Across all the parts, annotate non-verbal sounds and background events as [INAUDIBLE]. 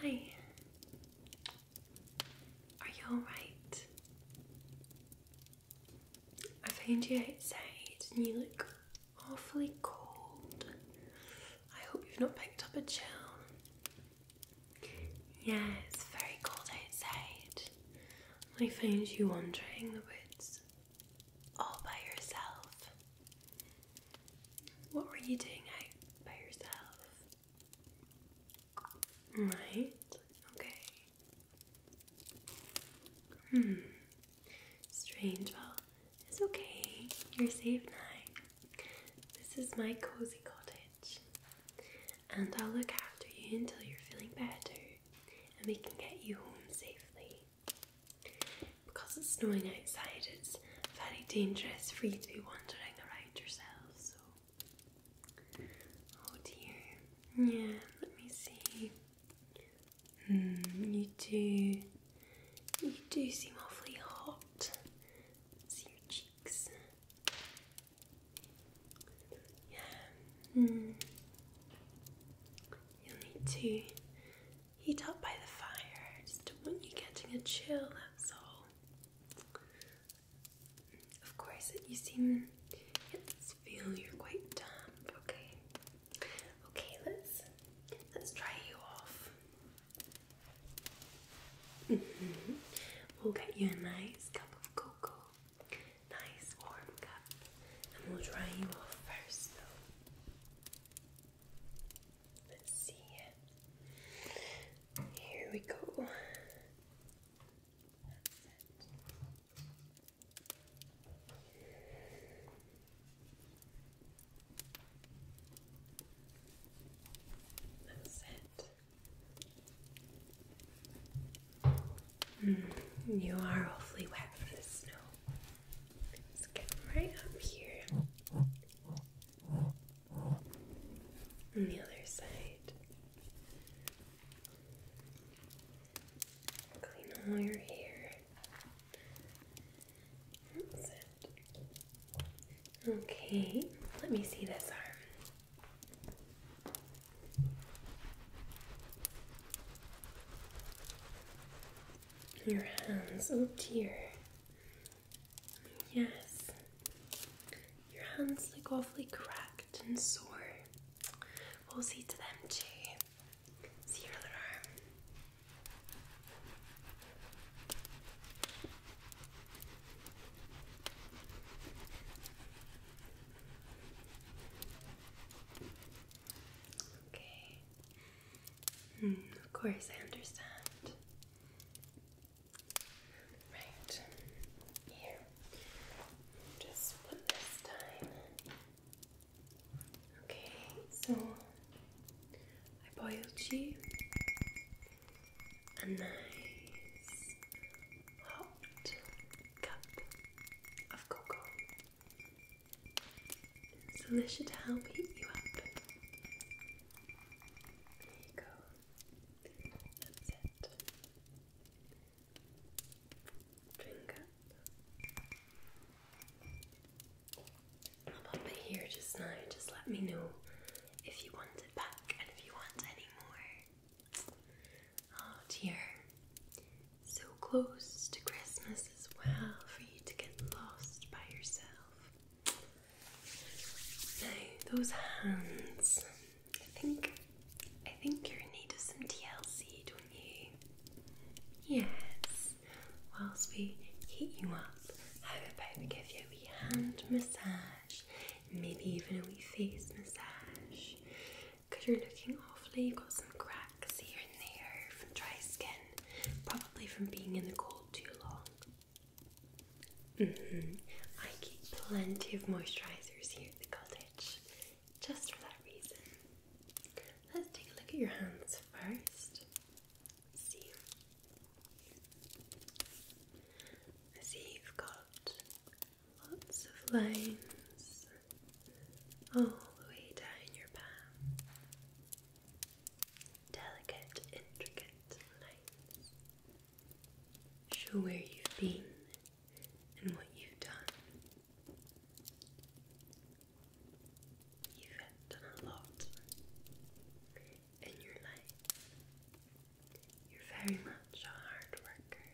Hi. Are you alright? I found you outside and you look awfully cold. I hope you've not picked up a chill. Yeah, it's very cold outside. I found you wandering the woods all by yourself. What were you doing out by yourself? Right, okay. Hmm, strange. Well, it's okay. You're safe now. This is my cozy cottage, and I'll look after you until you're feeling better and we can get you home safely because it's snowing outside, it's very dangerous for you to be wandering around yourself. So, oh dear. Yeah, let me see. Hmm, you do. You do seem awfully hot. See your cheeks. Yeah. Hmm. You'll need to heat up by the fire. just don't want you getting a chill, that's all. Of course, you seem, get feel you're quite damp, okay? Okay, let's, let's dry you off. -hmm. We'll get you a nice cup of cocoa, nice warm cup, and we'll dry you off first Let's see. Here we go. That's it. That's mm, you are awfully wet from the snow. Let's get right up here. On the other side. Clean all your hair. Okay, let me see this arm. Your hands, oh dear. Yes. Your hands look awfully cracked and sore. We'll see to them too. See your other arm. Okay. Hmm, of course, I understand. Right here. Just put this down. Okay, so I boiled you a nice hot cup of cocoa. So this should help heat you up there you go. That's it. Drink I'll pop here just now. Just let me know if you want it back and if you want any more. Oh dear. So close to Christmas as well for you to get lost by yourself. Now those hands. I think I think you're in need of some TLC, don't you? Yes. Whilst we heat you up, how about we give you a wee hand massage? Maybe even a wee face massage. Because you're looking awfully, you've got some cracks here and there from dry skin, probably from being in the cold too long. Mm-hmm. I keep plenty of moisturizers here at the cottage just for that reason. Let's take a look at your hands 1st see. see you've got lots of lines all the way down your palm delicate, intricate lines. Show where you've been and what you've done. You've done a lot in your life. You're very much a hard worker.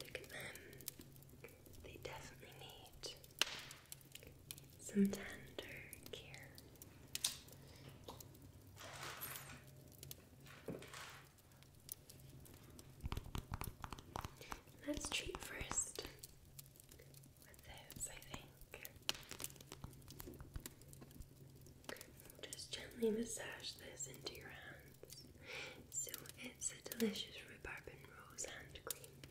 Look at them. They definitely need some tender care. Let's treat first with this, I think. Just gently massage this into your hands. So it's a delicious rhubarb and rose hand cream.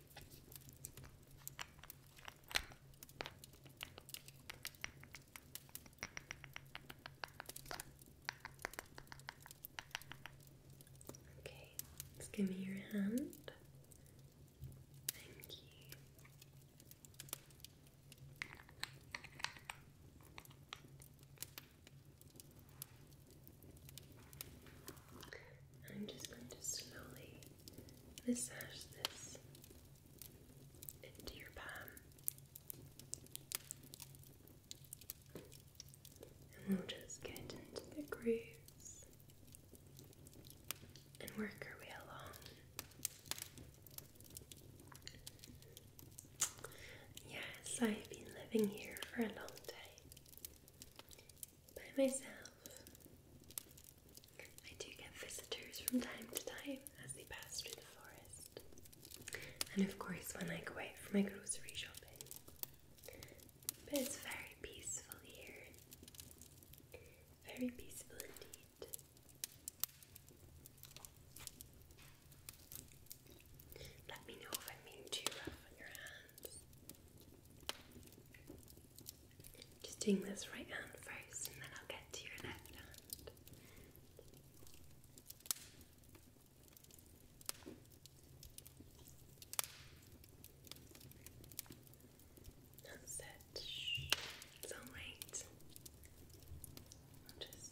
Okay, give me your hand. Thank you. I'm just going to slowly massage this into your palm. And just get into the grooves and work our way along. Yes, I've been living here for a long time by myself. I do get visitors from time to time as they pass through the forest, and of course, when I go out for my grocery shopping. But it's very peaceful here, very peaceful indeed. Let me know if I'm being too rough on your hands. Just doing this right hand first, and then I'll get to your left hand. That's it. It's alright. I'll just.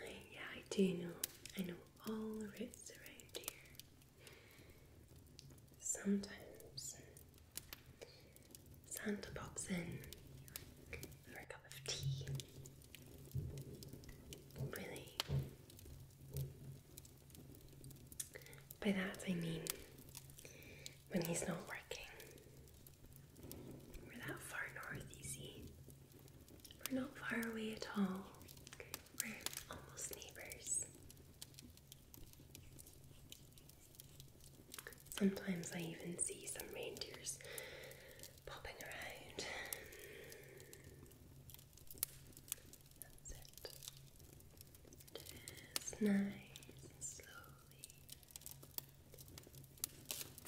I, yeah, I do know. I know all the routes around here. Sometimes Santa pops in for a cup of tea. Really. By that I mean when he's not working. We're that far north, you see. We're not far away at all. We're almost neighbours. Sometimes I even see some reindeers popping around. That's it. Just nice slowly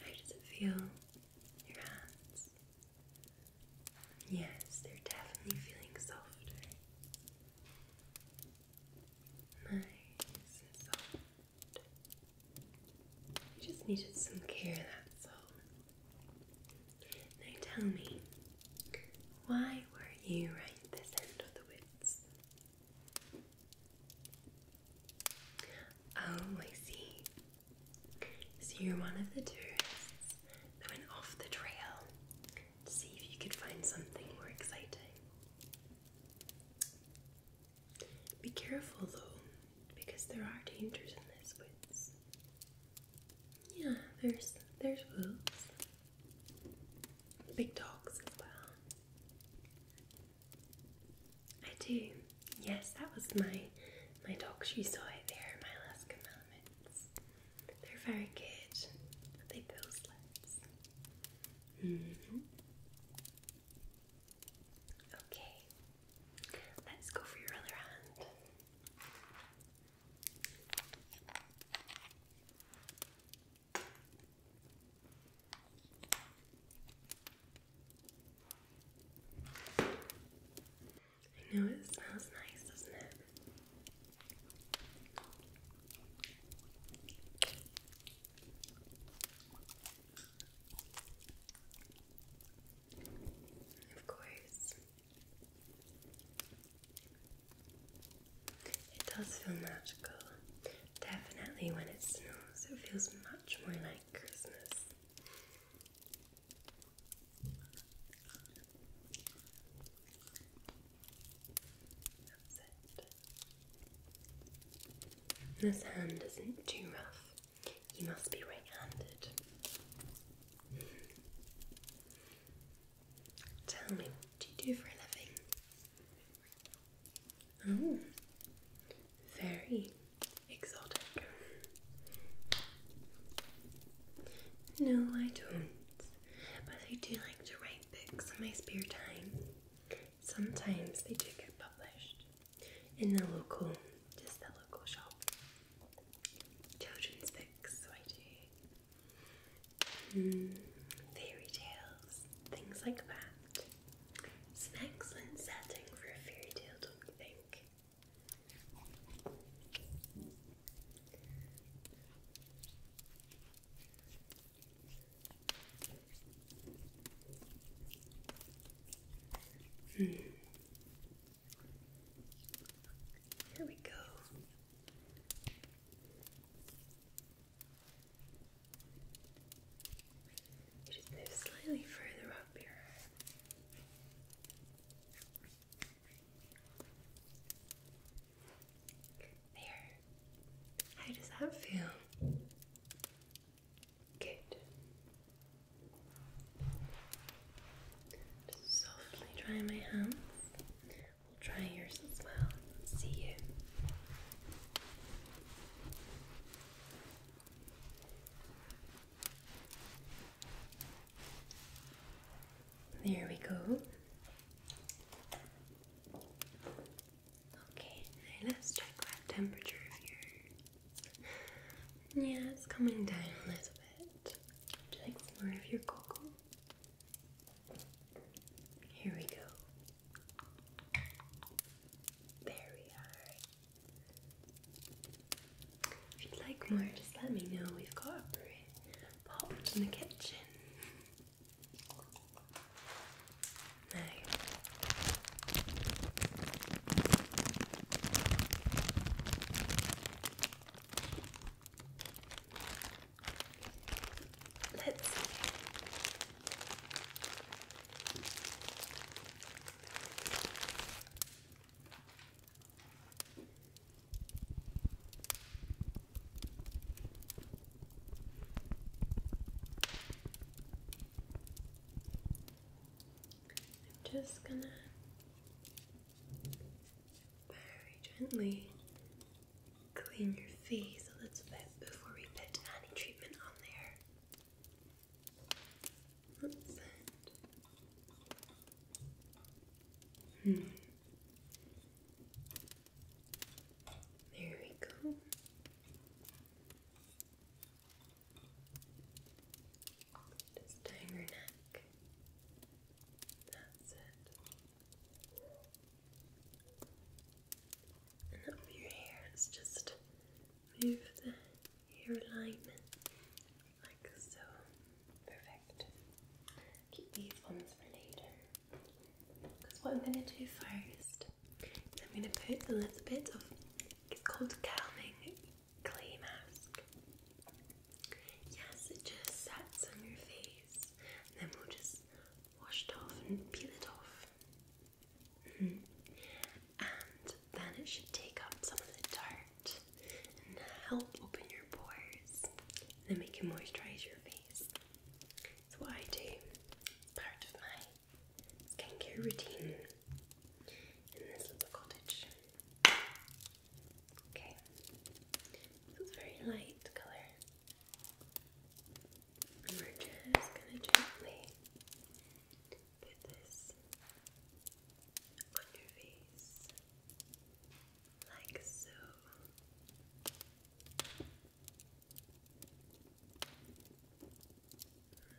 how does it feel? Your hands? Yes, they're definitely feeling softer. Nice and soft. You just needed some care, that's all. Now tell me, why were you right this end of the woods? Oh, I So you're one of the tourists that went off the trail to see if you could find something more exciting. Be careful though, because there are dangers in this woods. Yeah, there's there's wolves. Big dogs as well. I do. Yes, that was my my dog. You saw it there. My Alaskan Malamutes. They're very good. They pull sleds. -hmm. Okay. Let's go for your other hand. I know it smells nice, doesn't it? Of course. It does feel magical. Definitely when it snows, it feels much more like Christmas. This hand isn't too rough. You must be right handed. Tell me, what do you do for a living? Oh, very exotic. No, I don't, but I do like to write books in my spare time. Sometimes they do get published in the local, just the local shop. Children's books, so I do. Hmm, fairy tales, things like that. It's an excellent setting for a fairy tale, don't you think? Hmm. Here we go just move slightly further up here. There. How does that feel? Good. Just softly dry my hands. We'll try yours as well. See you. There we go. Okay, let's check that temperature here. Yeah, it's coming down a little bit. Would you like more of your cocoa? Here we go. There we are. If you'd like more, just let me know. We've got a bread popped in the kitchen. let's I'm just gonna very gently clean your face a little bit before we put any treatment on there. There we go. Just tying her neck. That's it. your hair is just move the hair like so. Perfect. Keep these ones for later. Because what I'm going to do first I'm going to put a little bit of it's called calming clay mask. Yes, it just sets on your face, and then we'll just wash it off and peel it off. And then it should take up some of the dirt and help open your pores. Then make can moisturize your face. That's what I do. part of my skincare routine in this little cottage. Okay, so it's very light colour. we're just gonna gently Put this on your face like so.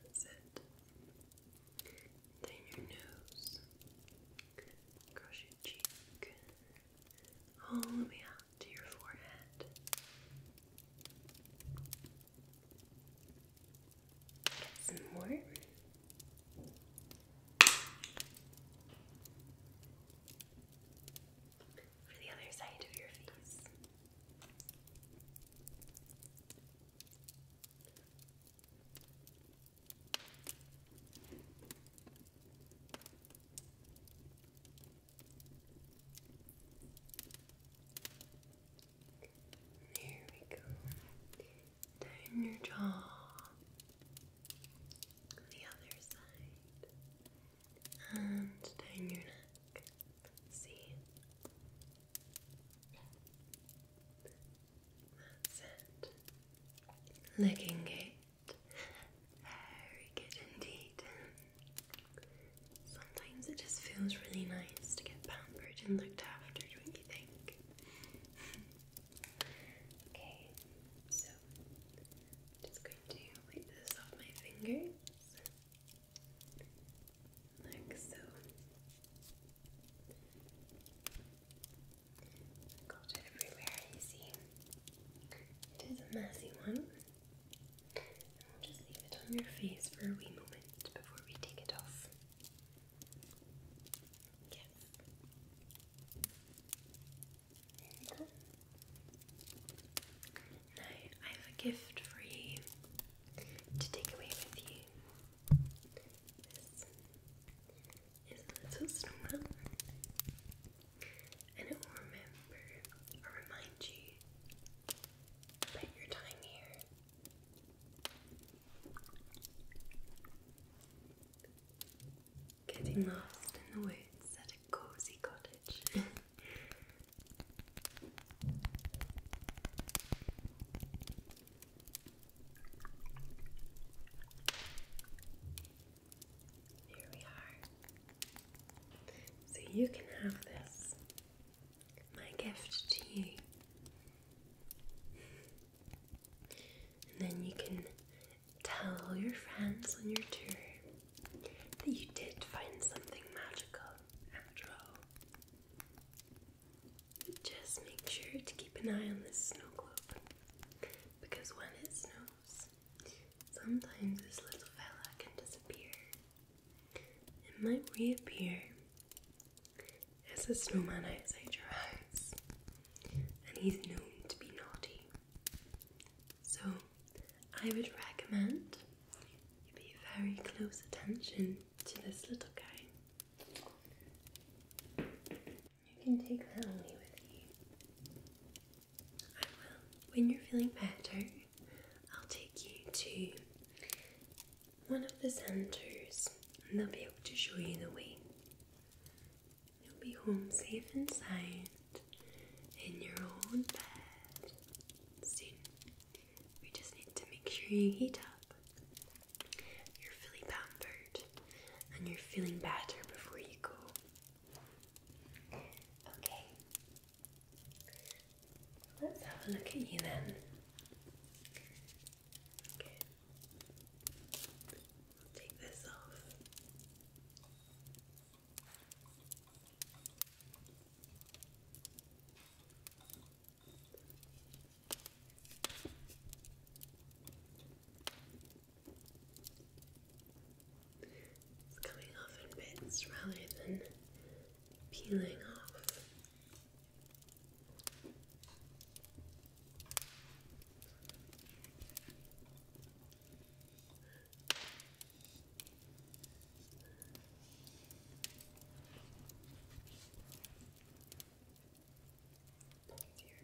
That's it. Then your nose, across your cheek, all the way out to your forehead. Get some more. For the other side of your face. There we go. Down your jaw. The other side. And down your neck. See? That's it. Looking good. Very good indeed sometimes it just feels really nice to get pampered and looked after, don't you think? [LAUGHS] okay, so just going to wipe this off my fingers. Like so. Got it everywhere, you see. It is a messy one. just leave it on your face for a wee moment before we take it off. Yes. I have a gift for you to take away with you. This is a little snowman, and it will remember or remind you about your time here Getting lost in the woods at a cozy cottage. [LAUGHS] Here we are. So you can have this my gift to you. And then you can tell all your friends on your tour that you did find something magical after all. Just make sure to keep an eye on this snow globe because when it snows, sometimes this little fella can disappear. It might reappear there's a snowman outside your house, and he's known to be naughty. So, I would recommend you pay very close attention to this little guy. You can take that only with you. I will. When you're feeling better, I'll take you to one of the centers and they'll be able to show you the way. You'll be home safe and sound in your own bed soon. We just need to make sure you heat up. You're fully pampered and you're feeling better before you go. Okay, let's have a look at you then take this off. It's coming off in bits rather than peeling off. Your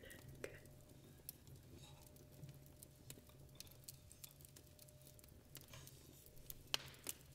neck.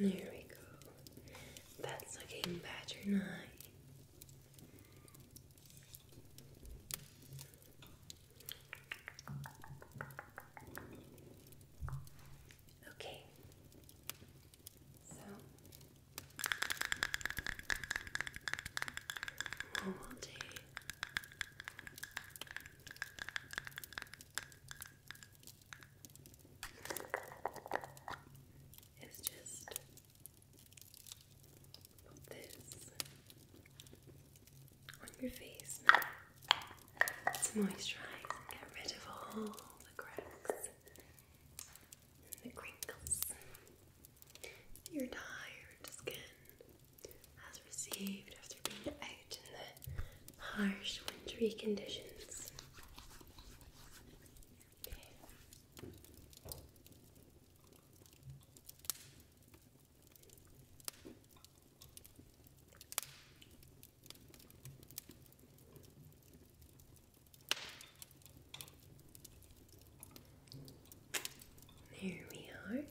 there we go. That's looking better now. Okay. So what will do is just put this on your face now to moisturise and get rid of all the cracks and the crinkles. Your tired skin has received after being out in the harsh wintry conditions. There we are.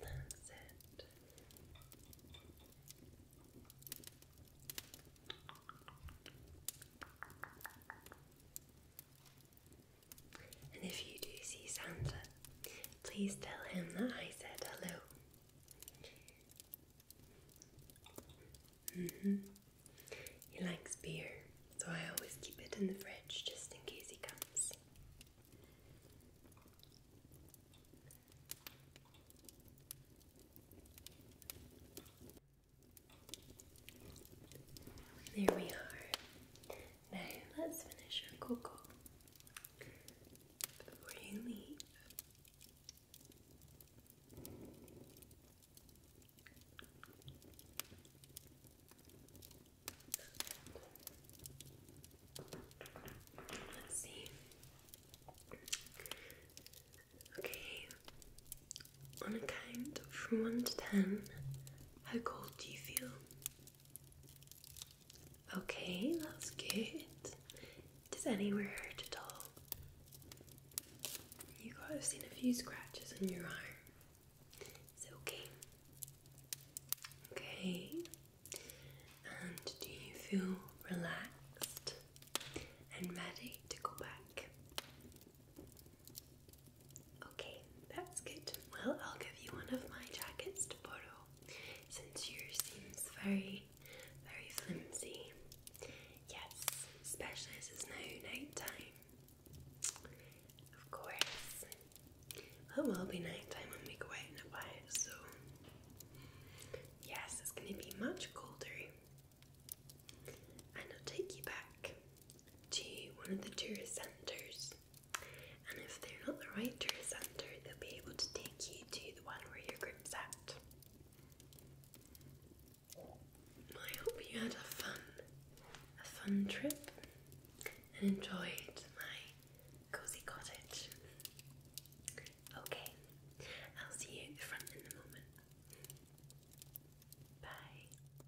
That's it. And if you do see Santa, please tell him that I said hello. Mm-hmm. He likes beer, so I always keep it in the fridge just in case he comes. There we are. Now let's finish your cocoa before you leave. Let's see. Okay, on a count from 1 to 10, how cold do you feel? Okay, that's good. Does anywhere hurt at all? You got have seen a few scratches on your arm. Is okay? Okay. And do you feel relaxed and ready to go back? Okay, that's good. Well, I'll give you one of my jackets to borrow since yours seems very, very flimsy. Yes, especially as it's now night Of course. Well, it will be night when we go out and about, so yes, it's going to be much colder. And I'll take you back to one of the tourist centres. And if they're not the right tourist centre, they'll be able to take you to the one where your group's at. I hope you had a fun, a fun trip and enjoyed my cozy cottage. Okay, I'll see you at the front in a moment. Bye.